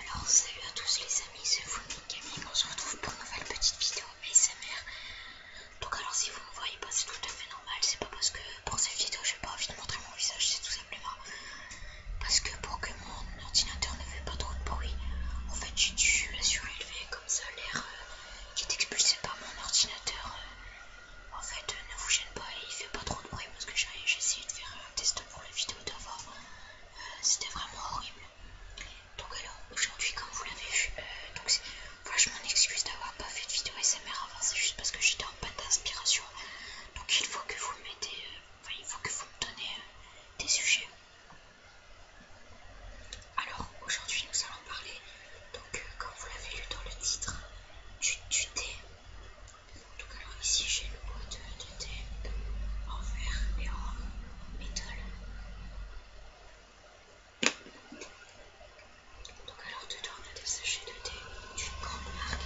Alors salut à tous les amis, c'est vous Camille, on se retrouve pour une nouvelle petite vidéo ASMR. Donc alors si vous me voyez pas c'est tout à fait normal, c'est pas parce que pour cette vidéo j'ai pas envie de montrer mon visage, c'est tout simplement parce que pour que mon ordinateur ne fait pas trop de bruit, en fait j'ai dû la surélever comme ça l'air euh, qui est expulsé par mon ordinateur. Euh, en fait, euh, ne vous gêne pas, il fait pas trop de bruit parce que j'ai essayé de faire un test pour la vidéo d'avant, euh, c'était vraiment horrible. Donc alors aujourd'hui comme vous l'avez vu, euh, donc je m'en excuse d'avoir pas fait de vidéo SMR avant, c'est juste parce que j'étais en panne d'inspiration. Donc il faut que vous me mettez, euh, enfin, il faut que vous me donnez des sujets. Alors aujourd'hui nous allons parler, donc comme vous l'avez lu dans le titre, tu du donc alors ici j'ai une boîte de thé en verre et en métal. Donc alors dedans on a des sachets de thé d'une grande marque.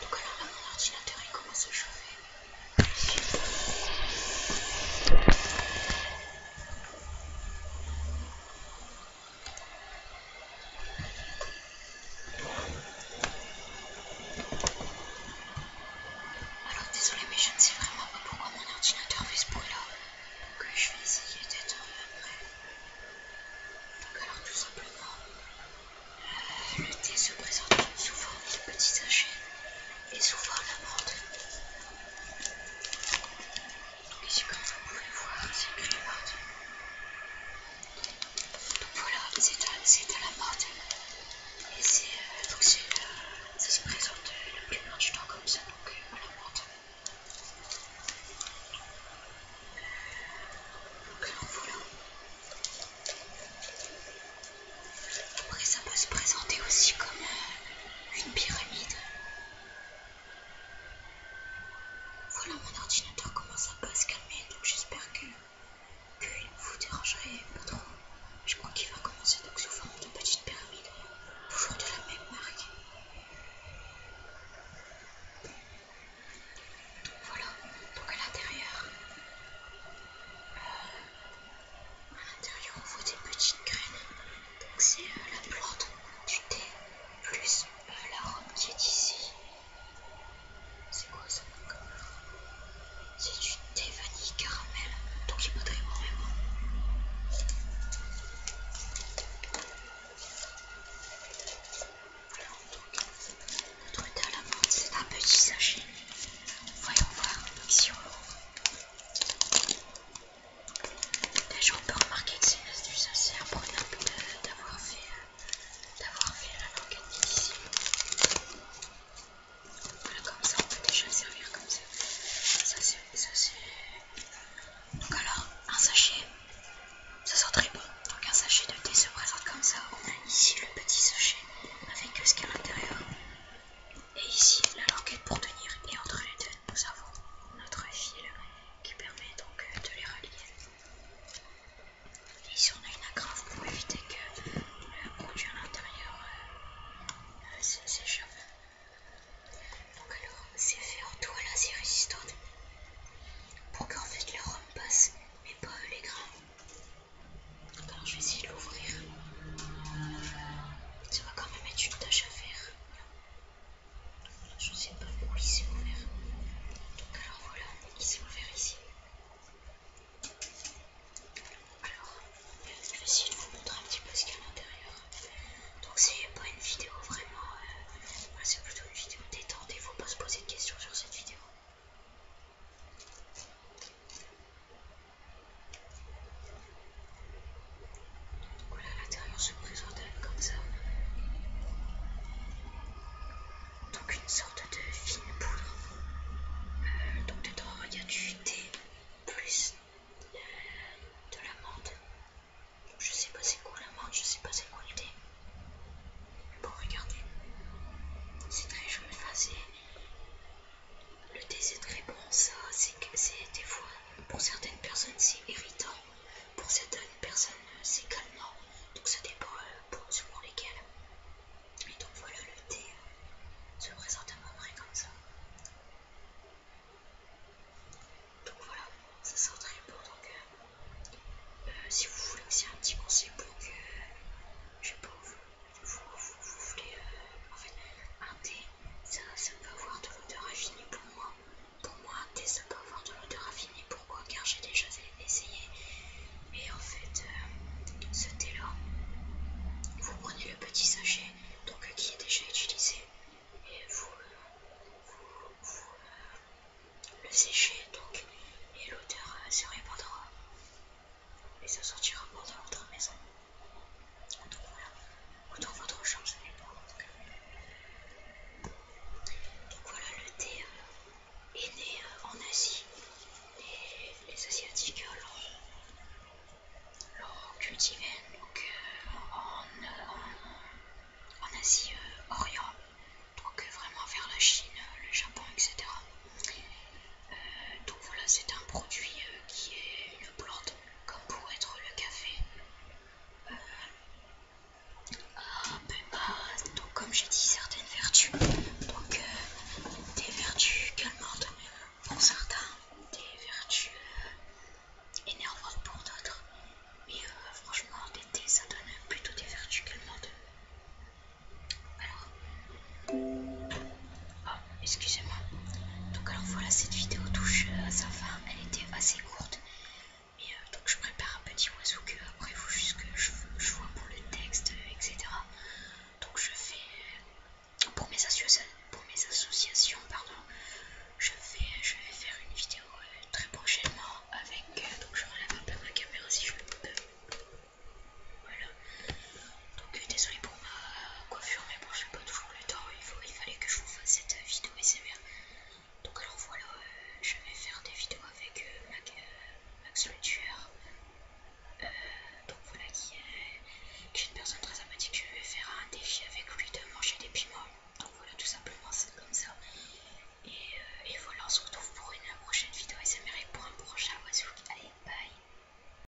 Donc voilà. Donc alors là mon ordinateur il commence à chauffer. Alors désolé mais je ne sais vraiment pas pourquoi mon ordinateur fait ce bruit là. Que euh, je vais essayer d'éteindre après. Donc alors tout simplement, euh, le thé se présente souvent forme de petits sachets et souvent la bande. Donc ici comme vous pouvez le voir, c'est que la Donc voilà, c'est à, la mode. Et c'est donc ça se présente le plus plupart du temps comme ça, donc à la mode. Donc voilà. Après ça peut se présenter aussi comme une pyramide. Voilà mon ordinateur commence à pas se calmer donc j'espère que, que ne vous dérangerait pas trop. Je crois qu'il va commencer donc sous forme de petite pyramide, toujours de la même marque. voilà, donc à l'intérieur, euh, à l'intérieur on voit des petites graines, donc c'est euh, la plante du thé plus euh, la robe qui est ici. C'est quoi ça C'est du thé vanille caramel, donc il peut d'ailleurs Alors donc notre thé à la menthe, c'est un petit sachet. Voyons voir si on l'ouvre. Déjà on peut remarquer que c'est une astuce assez imprenable d'avoir fait, euh, fait la languette ici. Voilà, comme ça, on peut déjà servir comme ça. Ça, c'est. Donc, alors, un sachet, ça sent très bon. Donc, un sachet de thé se présente comme ça. On a ici le petit sachet avec ce qu'il y a à l'intérieur. Et ici, la languette pour tenir. Et entre les deux, nous avons notre fil qui permet donc de les relier. Ici on a une agrave pour éviter que le produit à l'intérieur euh, s'échappe. Donc alors c'est fait en toile assez résistante pour qu'en fait les rhum passent, mais pas les grains. Donc alors je vais essayer de l'ouvrir. Ça va quand même être une tâche à faire. Je ne sais pas où il s'est ouvert. Donc alors voilà, il s'est ouvert ici. Alors, euh, je vais essayer de vous montrer un petit peu ce qu'il y a à l'intérieur. Donc c'est pas une vidéo vraiment, euh, c'est plutôt une vidéo détente et faut pas se poser de questions sur cette vidéo. Donc Voilà, l'intérieur se présente comme ça. Donc une sorte de fine poudre. Euh, donc dedans, il y a du thé plus euh, de la menthe. Je sais pas c'est quoi la menthe, je sais pas c'est quoi le thé. bon, regardez. C'est très joli. c'est... Le très bon ça, c'est des fois, pour certaines personnes, c'est irritant, pour certaines personnes, c'est calmant. Donc ça dépend euh, pour selon lesquelles. Et donc voilà, le thé euh, se présente à peu près comme ça. Donc voilà, ça sent très bon. Donc euh, si vous voulez c'est un petit conseil pour que, je sais pas, vous, voulez en fait, un thé ça, ça peut avoir de l'odeur affinée pour moi. Pour moi, thé, ça peut avoir de l'odeur affinée. Pourquoi Car j'ai déjà essayé. Et en fait, euh, ce thé-là, vous prenez le petit sachet donc, qui est déjà utilisé et vous, euh, euh, le séchez donc, et l'odeur se répandra et ça sortira pas de votre maison votre chance Donc voilà, le thé est né euh, en Asie. Et les Asiatiques euh, l'ont cultivé euh, en, Asie Orient, donc vraiment vers la Chine, le Japon, etc donc voilà, c'est un produit euh, qui est une plante, comme pour être le café. Euh, ah, ben bah, donc comme j'ai dit, certaines vertus, donc euh, des vertus calmantes pour certains, des vertus énervantes pour d'autres, mais franchement, des ça donne plutôt des vertus calmantes. Alors, Oh, excusez-moi. Donc alors voilà, cette vidéo touche euh, à sa fin. Elle était assez courte. Mais euh, donc je prépare un petit oiseau que après il faut juste que je, vois pour le texte, euh, etc. Donc je fais pour mes associations, pardon, je vais, faire une vidéo très prochainement avec. donc je relève un peu ma caméra si je peux. Voilà. Donc euh, désolé pour ma coiffure, mais bon, j'ai pas toujours le temps. Il, il fallait que je vous fasse cette euh, vidéo SMR. Donc alors voilà, euh, je vais faire des vidéos avec Max le donc voilà qui est, une personne très sympathique. Je vais faire un défi avec lui de manger des piments. Donc voilà, tout simplement, c'est comme ça. Et, voilà, on se retrouve pour une prochaine vidéo SMR et pour un prochain oiseau. Allez, bye